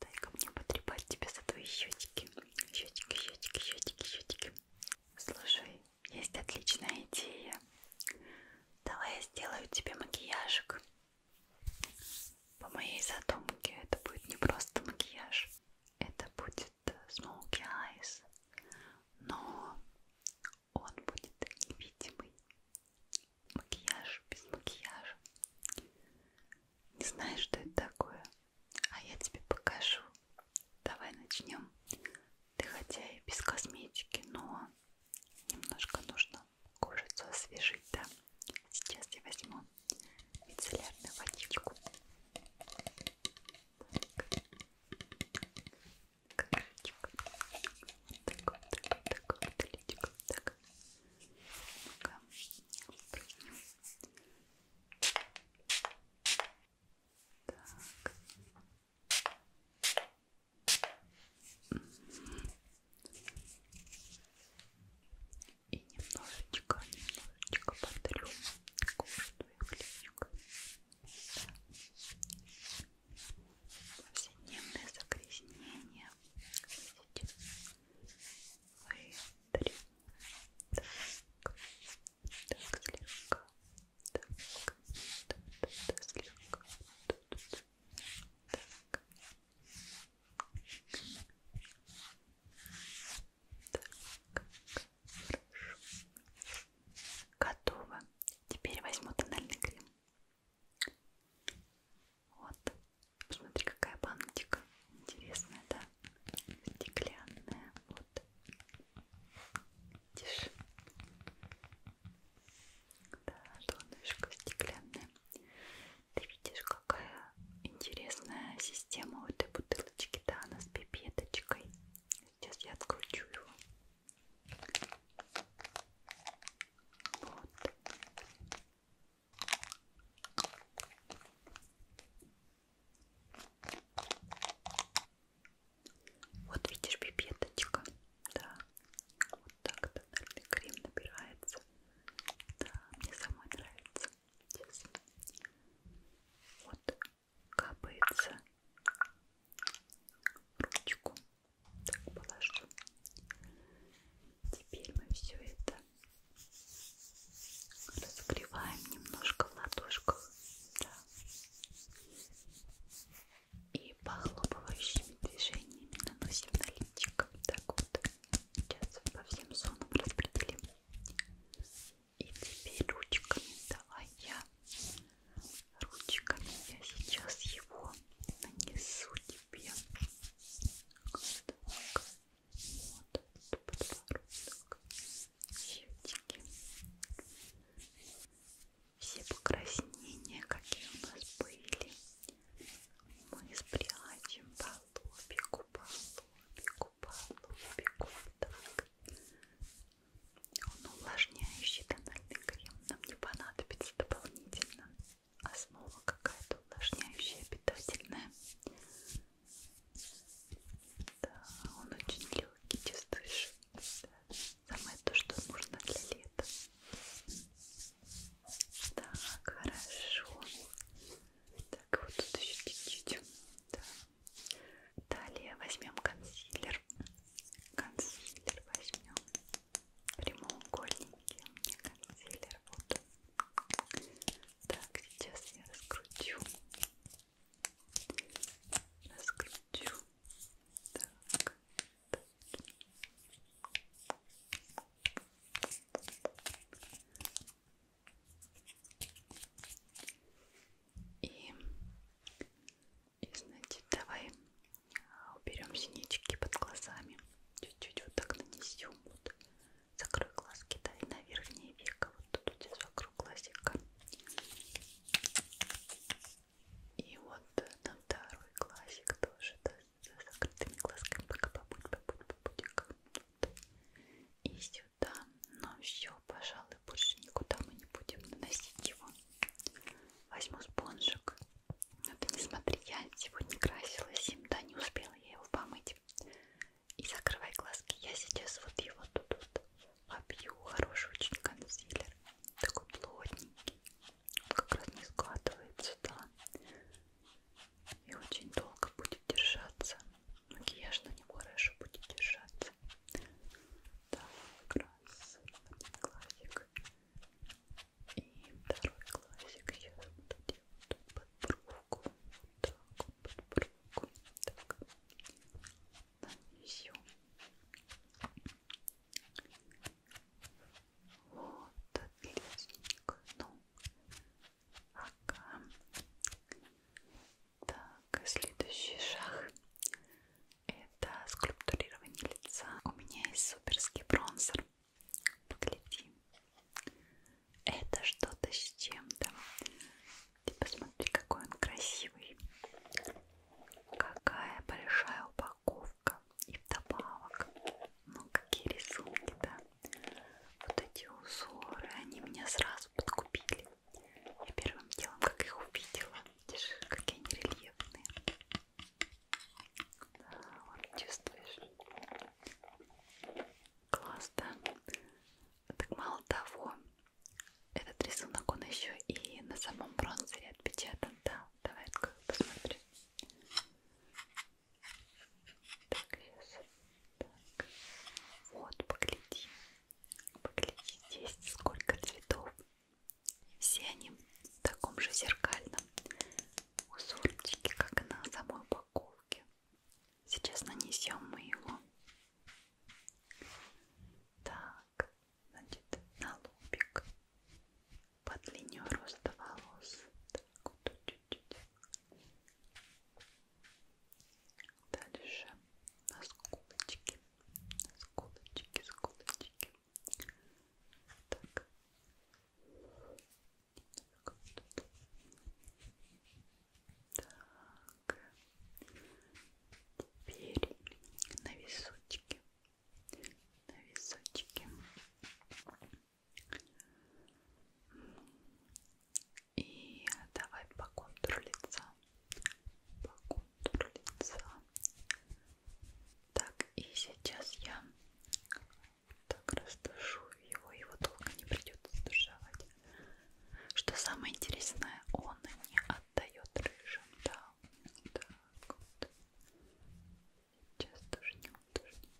Дай-ка мне потрепать тебя за твои щетики. Щетики, щетики, щетики, щетики. Слушай, есть отличная идея. Давай я сделаю тебе макияжик. По моей задумке это будет не просто макияж. Это будет э, Smoky Eyes. Но он будет невидимый. Макияж, без макияжа. Не знаешь, что это такое? А я тебе покажу. Давай начнем. Ты хотя и без косметики, но немножко нужно кожицу освежить, да? Сейчас я возьму мицеллярную водичку. Так. Как вот так вот, так вот, так вот, так так. Ну-ка, прыгнем. Так. И немножечко, немножечко подрем кожу твоих личинок. Повседневное загрязнение. Видите? выдри. Так, так, слегка. Так, так, так, слегка. Так. Так, хорошо. Готово. Теперь возьму тональный крем. Вот, посмотри, какая баночка интересная, да? Стеклянная, вот. Видишь? Да, донышко стеклянная. Ты видишь, какая интересная система у этой бутылочки, да, она с пипеточкой. Сейчас я откручу его. Вот. Вот видишь, пипеточка, да, вот так тональный крем набирается, да, мне самой нравится, Сейчас. вот капается ручку так положу. Теперь мы все это разогреваем немножко в ладошках да. и похлопывающими движениями наносим на личико. Так вот, сейчас по всем зонам распределим. И теперь ручками давай я ручками я сейчас его нанесу тебе подводка, вот подбородок, щетики, все покраснения, какие у нас были, мы спрячем по лобику, по лобику, по лобику, так. Он увлажняющий тональный крем нам не понадобится дополнительно основа какая-то увлажняющая, питательная. Да, он очень легкий, чувствуешь? Да. Самое то, что нужно для лета. Так, хорошо. Так, вот тут еще чуть-чуть. Да. Далее возьмем консилер. Консилер возьмем прямоугольники мне консилер вот так сейчас я раскручу раскручу так, так. И, и значит давай уберем синячки под глазами, чуть-чуть вот так нанесем, вот закрой глазки, да, и на верхнее веко, вот тут у тебя вокруг глазика, и вот на второй глазик тоже, да, за закрытыми глазками, пока побудь, побудь, побудь, вот. и сюда, но ну, все, пожалуй, больше никуда мы не будем наносить его. Возьму спонжик но а ты не смотри, я сегодня красилась им, да, не успела я его помыть. И закрывай глазки, я сейчас вот его тут вот побью, хороший очень консилер, такой плотненький, он как раз не складывается, да, и очень долго будет держаться, макияж на него хорошо будет держаться. Так, раз, один глазик, и второй классик я буду делать под бровку. Вот так вот под бровку. Так. Нанесем. Вот, отличненько. Ну, ага. Так, следующий шаг это скульптурирование лица. У меня есть суперский бронзер. Погляди. Это что-то с чем-то. Ты посмотри, какой он красивый. Какая большая упаковка. И вдобавок. Ну, какие рисунки, да. Вот эти узоры, они меня сразу подкупили. Я первым делом, как их увидела. Видишь, какие они рельефные. Да, вот чувствуешь? Класс, да? Так мало того, этот рисунок, он еще и на самом бронзере отпечатан, да? Давай посмотрим. Так, сейчас. Так. Вот, погляди. Погляди здесь, сколько цветов. Все они в таком же зеркальном узорчике, как и на самой упаковке. Сейчас нанесем мы его. Так, значит, на лобик по длине роста волос. Так, вот чуть-чуть. Дальше на скулочки, на скулочки, скулочки. Так. так. Теперь на височке. На височке. И давай по контуру лица. По контуру лица. Так, и сейчас я так растушу его, его долго не придется стушевать. Что самое интересное, он не отдает рыжим, да. Так вот. Сейчас тушнем, тушнем.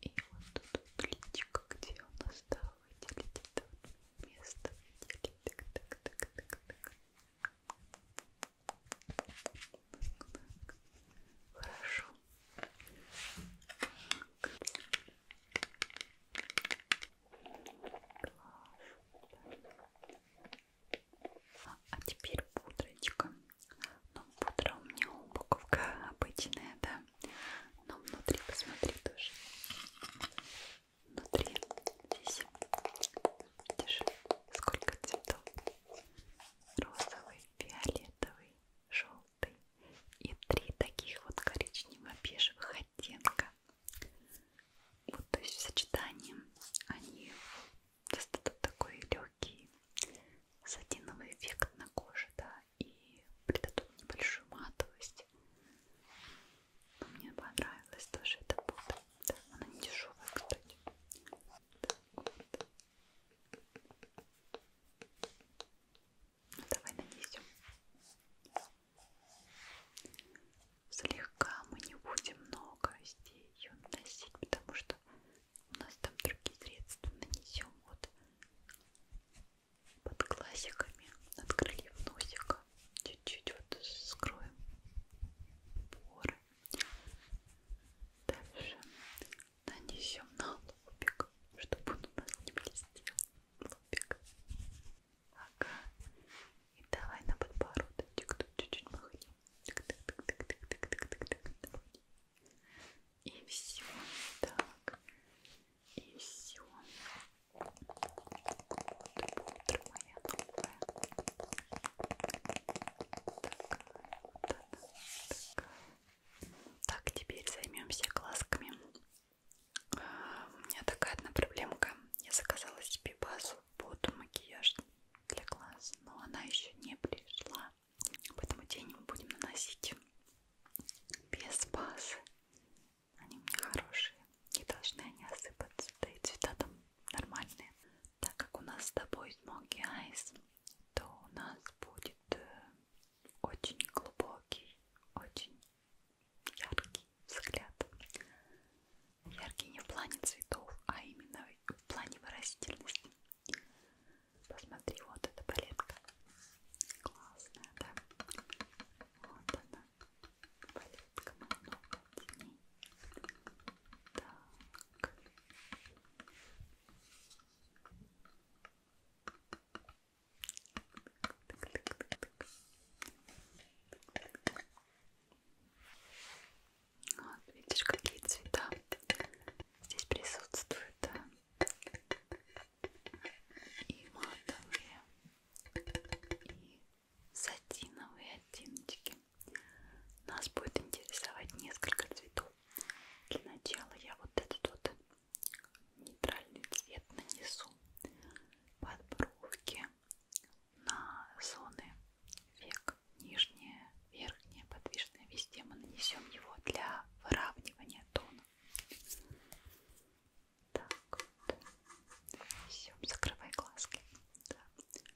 И вот тут плитика, где у нас, да, выделить это место, выделить, так, так, так, так, так. так. Хорошо. Так. А теперь пудрочка. Но ну, пудра у меня упаковка обычная, да. Но внутри, посмотри тоже. Внутри здесь, видишь, сколько цветов. Розовый, фиолетовый, желтый. И три таких вот коричнево-бежевых оттенка. Вот, то есть в сочетании они создают такой легкий легкий сатиновый эффект на коже, да, и придадут небольшую матовость. Но мне понравилось тоже эта пута. Да, она не дешевая, кстати. Так вот. Ну, давай нанесем. Слегка мы не будем много здесь ее наносить, потому что у нас там другие средства нанесем вот под глазиками, над крыльев носика, чуть-чуть вот скроем поры. Дальше нанесем на лобик, чтобы он у нас не блестел. Лобик. Ага. И давай на подбородок чуть-чуть махнем. Так, так, так, так, так, так, так, так, так. И все. Так. И все. Вот пудра моя новая. Такая вот она. Такая. Так, теперь займемся глазками. У меня такая одна проблемка. Я заказала себе базу под макияж для глаз, но она еще не пришла. Поэтому тени мы будем наносить без базы. Они у меня хорошие. Не должны они осыпаться. Да и цвета там нормальные. Так как у нас с тобой Smoky Eyes, то у нас будет э, очень глубокий, очень яркий взгляд. Яркий не в плане цветов, а именно в плане выразительности. Посмотри, вот эта палетка. Классная, да? Вот она. Палетка много теней. Так. Вот, видишь, какие цвета здесь присутствуют и матовые, и сатиновые оттеночки. Нас будет интересовать несколько цветов. Для начала я вот этот вот нейтральный цвет нанесу под бровки на зоны век нижняя, верхняя, подвижная, везде мы нанесем его для выравнивания тона. Так, вот. Нанесем, закрывай глазки. Да. Так.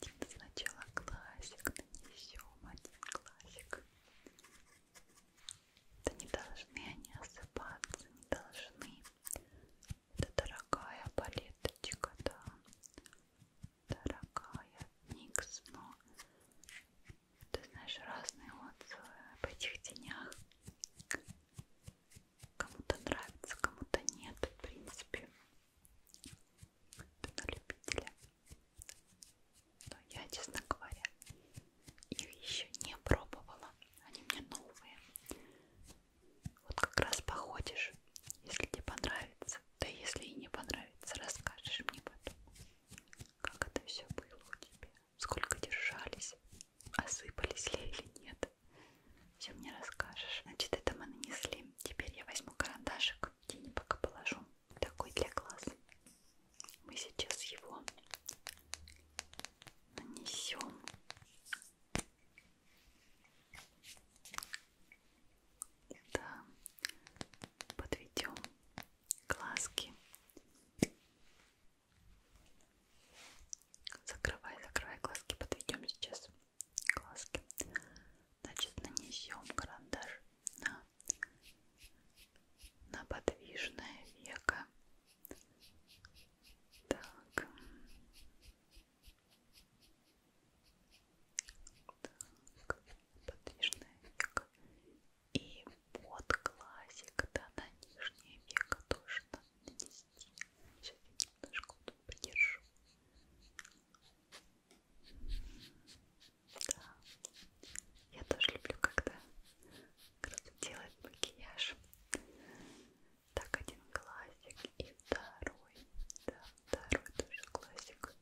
Один сначала классик нанесем, один классик. Да не должны они осыпаться, не должны это дорогая палеточка, да. Дорогая Никс, но ты знаешь разные отзывы об этих тенях. Кому-то нравится, кому-то нет, в принципе. Это на любителя. Но я, честно говоря, их еще не пробовала. Они мне новые. Вот как раз походишь, если тебе понравится, да если и не понравится, расскажешь мне потом, как это все было у тебя, сколько держались, осыпались ли или нет. Все мне расскажешь. Значит, это мы нанесли. Теперь я возьму карандашик, тени пока положу. Такой для глаз. Мы сейчас его нанесем да, подведем глазки. Закрывай, закрывай глазки, подведем сейчас глазки. Значит, нанесем карандаш на, на подвижное веко так. так. Подвижное веко. И под глазик, да, на нижнее веко тоже надо нанести. Сейчас я немножко вот придержу. Да. Я тоже люблю, когда кто-то делает макияж. Так, один классик и второй. Да, второй тоже классик.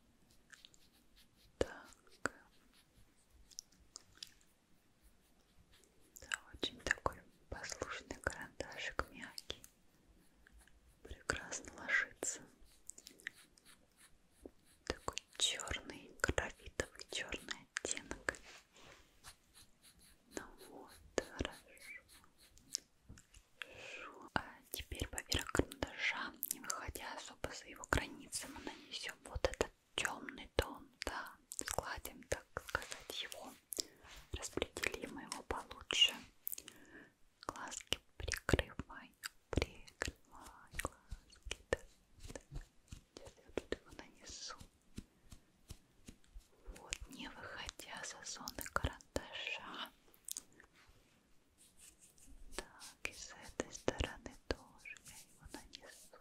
Так. Да, очень такой послушный карандашик, мягкий. Прекрасно ложится. Такой черный, графитовый черный оттенок. Ну вот, хорошо. хорошо. А теперь поверх карандаша, не выходя особо за его границы, мы нанесем вот этот темный тон, да, складим, так сказать, его, распределим его получше. Глазки прикрывай, прикрывай глазки, да, да. Сейчас я тут его нанесу. Вот, не выходя за зоны карандаша. Так, и с этой стороны тоже я его нанесу.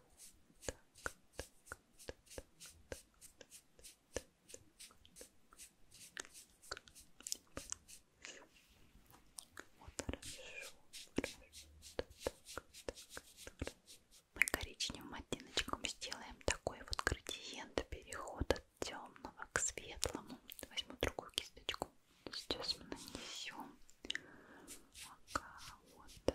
Так, так, так, так, так, так, так, так. Вот хорошо, хорошо. Так, так, так, так. Мы коричневым оттеночком сделаем такой вот градиент переход от темного к светлому. Возьму другую кисточку. Сейчас мы нанесем ага, вот, да,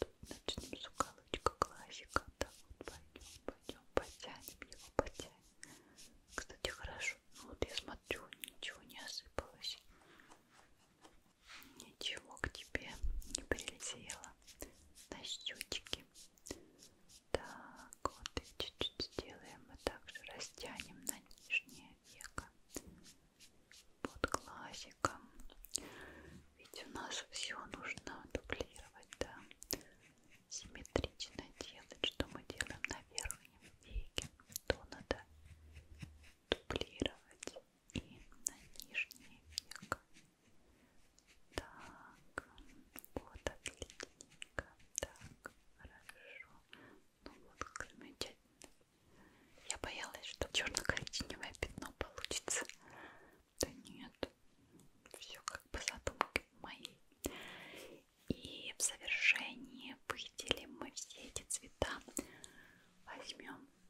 вот начнем с уголочка классика. Да, вот пойдем, пойдем, потянем его, потянем. Кстати, хорошо. Ну, вот я смотрю, ничего не осыпалось ничего к тебе не прилетело на щечки. Так, вот и чуть-чуть сделаем, мы также растянем на нижнее веко под глазиком. Ведь у нас все нужно дублировать, да, симметрично делать, что мы делаем на верхнем веке, то надо дублировать и на нижнее веко. Так, вот отличненько, так, хорошо. Ну вот, замечательно. Я боялась, что черно-коричневое пятно получится. Да нет, все как по задумке моей. И в завершении выделим мы все эти цвета. Возьмем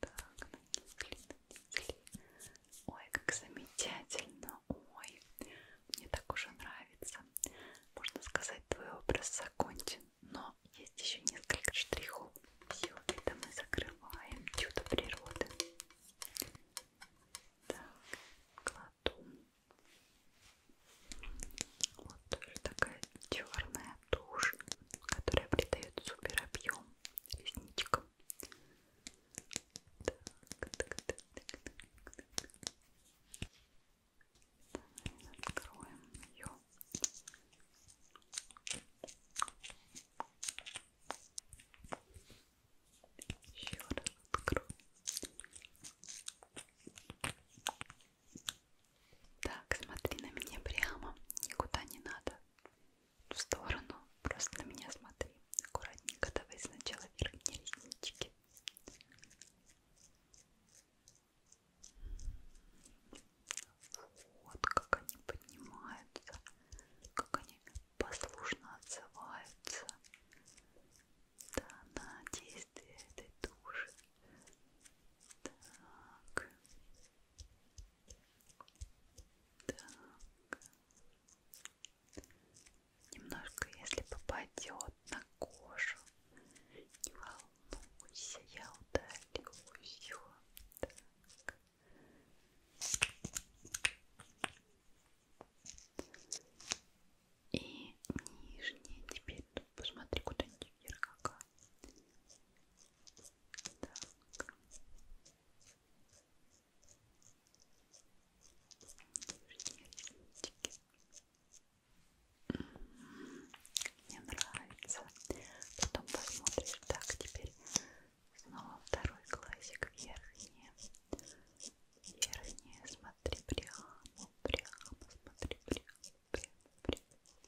так, так, нанесли, нанесли. Ой, как замечательно, ой, мне так уже нравится. Можно сказать, твой образ закончен, но есть еще несколько штрихов. Все это мы закрываем, чудо природы. Так, кладу. Вот тоже такая черная тушь, которая придает супер объем ресничек. Так, так, так, так, так. Давай откроем ее. Еще раз откроем. Так, смотри на меня прямо, никуда не надо в сторону, просто на меня смотри. Аккуратненько давай сначала верхние реснички. Вот как они поднимаются, как они послушно отзываются. Да, на действие этой души. Так. Так. Немножко, если попадет на кожу, не волнуйся, я удалю ее. Так. И нижние теперь ну, посмотри куда-нибудь вверх. Как. Так. Мне нравится. Потом посмотришь. Так, теперь снова второй глазик верхний. Верхний, смотри прямо, прямо, смотри прямо, прямо, прямо.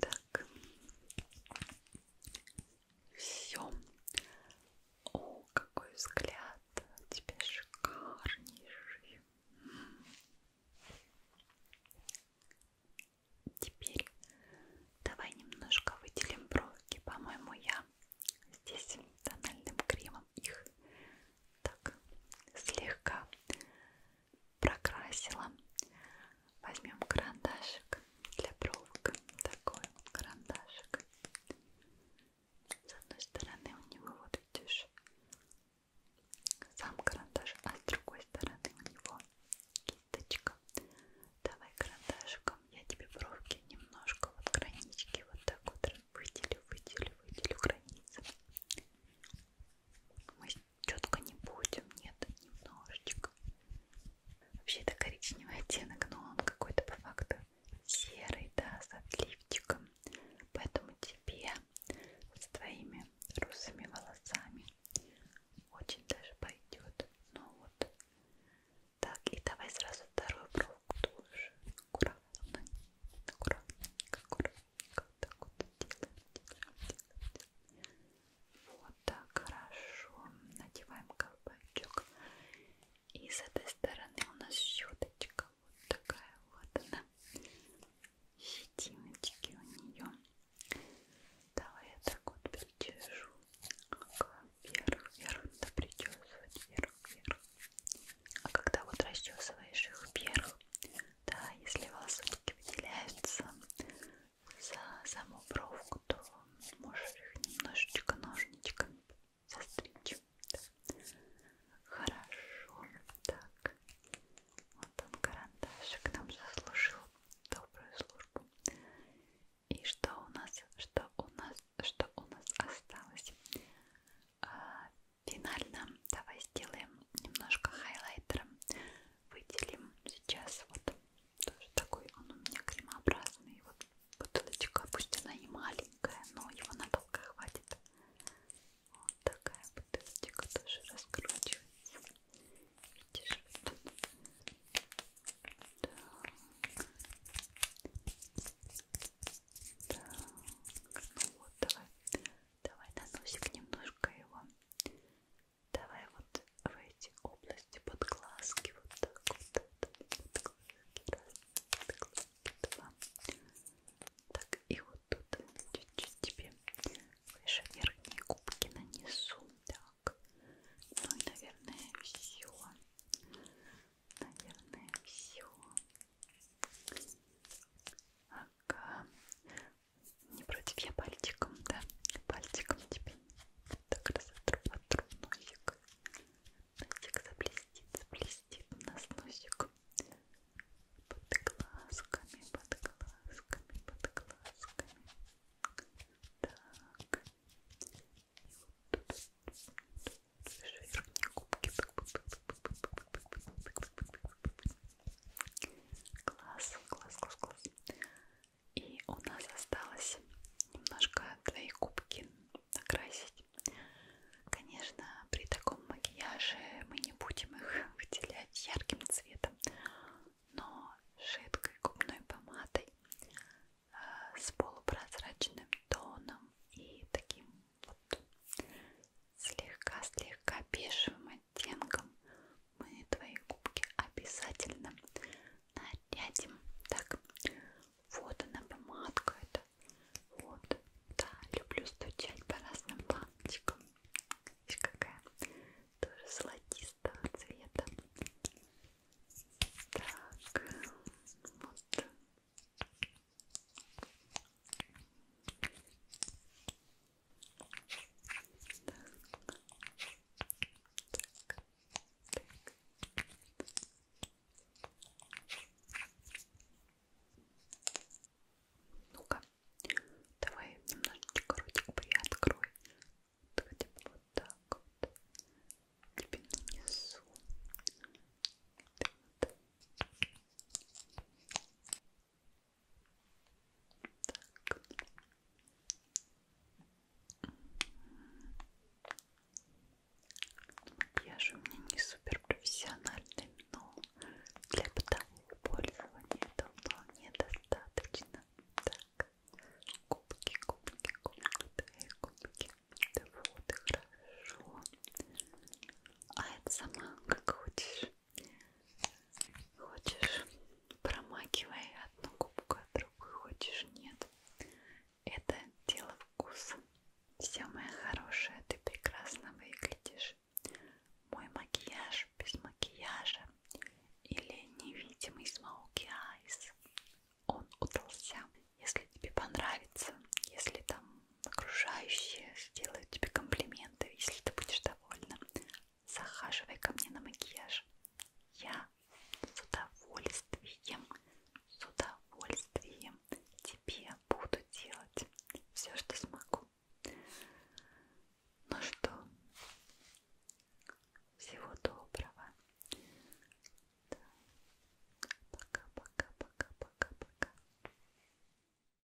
Так. Все. О, какой взгляд. У тебя шикарнейший. Теперь давай немножко выделим бровки. По-моему, я здесь тональным кремом их так слегка прокрасила. Возьмем карандашик для бровок. Такой вот карандашик. С одной стороны у него, вот видишь, сам карандаш, а с другой стороны у него кисточка. Давай карандашиком я тебе бровки немножко вот гранички вот так вот выделю, выделю, выделю границы. Мы с четко не будем, нет, немножечко. Вообще это коричневый оттенок, но он какой-то по факту серый, да, с отливчиком. Поэтому тебе с твоими русыми волосами очень даже пойдет. Ну вот. Так, и давай сразу вторую бровку тоже. Аккуратно, аккуратненько, аккуратненько. Вот так вот делаем, делаем, делаем. Вот так, хорошо. Надеваем колпачок. И с этой стороны у нас щеточка. Вот такая вот она. Щетиночки у нее. Давай я так вот причешу. Вверх, вверх, да причесывать, вверх, вверх. А когда вот расчесываешь их вверх, да, если волосочки выделяются, за саму бровку, то можешь их немножечко ножничками застричь. Хорошо. Так. Вот он, карандашик, нам заслужил добрую службу. И что у нас, что у нас, что у нас осталось? А, финально давай сделаем немножко хайлайтером. Выделим сейчас вот тоже такой он у меня кремообразный вот бутылочка, пусть она не маленькая, но его надолго хватит вот такая бутылочка тоже раскручивается видишь вот. так. Так. ну вот давай давай на носик немножко его Давай вот в эти области под глазки вот так вот. Под глазки, раз, под глазки, два. Так, и вот тут чуть-чуть тебе выше верхние губки нанесу. Так. Ну и, наверное, все. Наверное, все. Ага. Не против, я пальчиком, да? Пальчиком тебе так разотру, отру носик. Носик заблестит, заблестит у нас носик. Под глазками, под глазками, под глазками. Так. И вот тут. Верхние губки. Класс, класс, класс, класс. И у нас осталось немножко твои губки накрасить. Конечно, при таком макияже мы не будем их выделять ярким цветом, но жидкой губной помадой а, с полупрозрачным тоном и таким вот слегка-слегка бежевым оттенком мы твои губки обязательно нарядим. Так, вот она помадка это. Вот, да, люблю стучать по разным планочкам. Видишь, какая? Тоже золотистого цвета. Так, вот. Так. Так. Так. Ну-ка, давай немножечко ротик приоткрой. Вот хотя бы вот так вот. Тебе нанесу. Вот. Так. Макияж у меня не супер профессиональный, но для бытового пользования это вполне достаточно. Так, кубки, кубки, кубки, твои кубки. Да вот и хорошо. А это сама как хочешь. Хочешь, промакивай одну губку, а другую хочешь, нет. Это дело вкуса. Все, моя хорошая, ты прекрасно выглядишь. Мой макияж без макияжа или невидимый смоуки айс. Он удался. Если тебе понравится, если там окружающие сделают тебе комплименты, если ты будешь довольна. Захаживай ко мне на макияж. Я с удовольствием, с удовольствием тебе буду делать все, что смогу. Ну что, всего доброго. Пока-пока-пока-пока-пока. Да.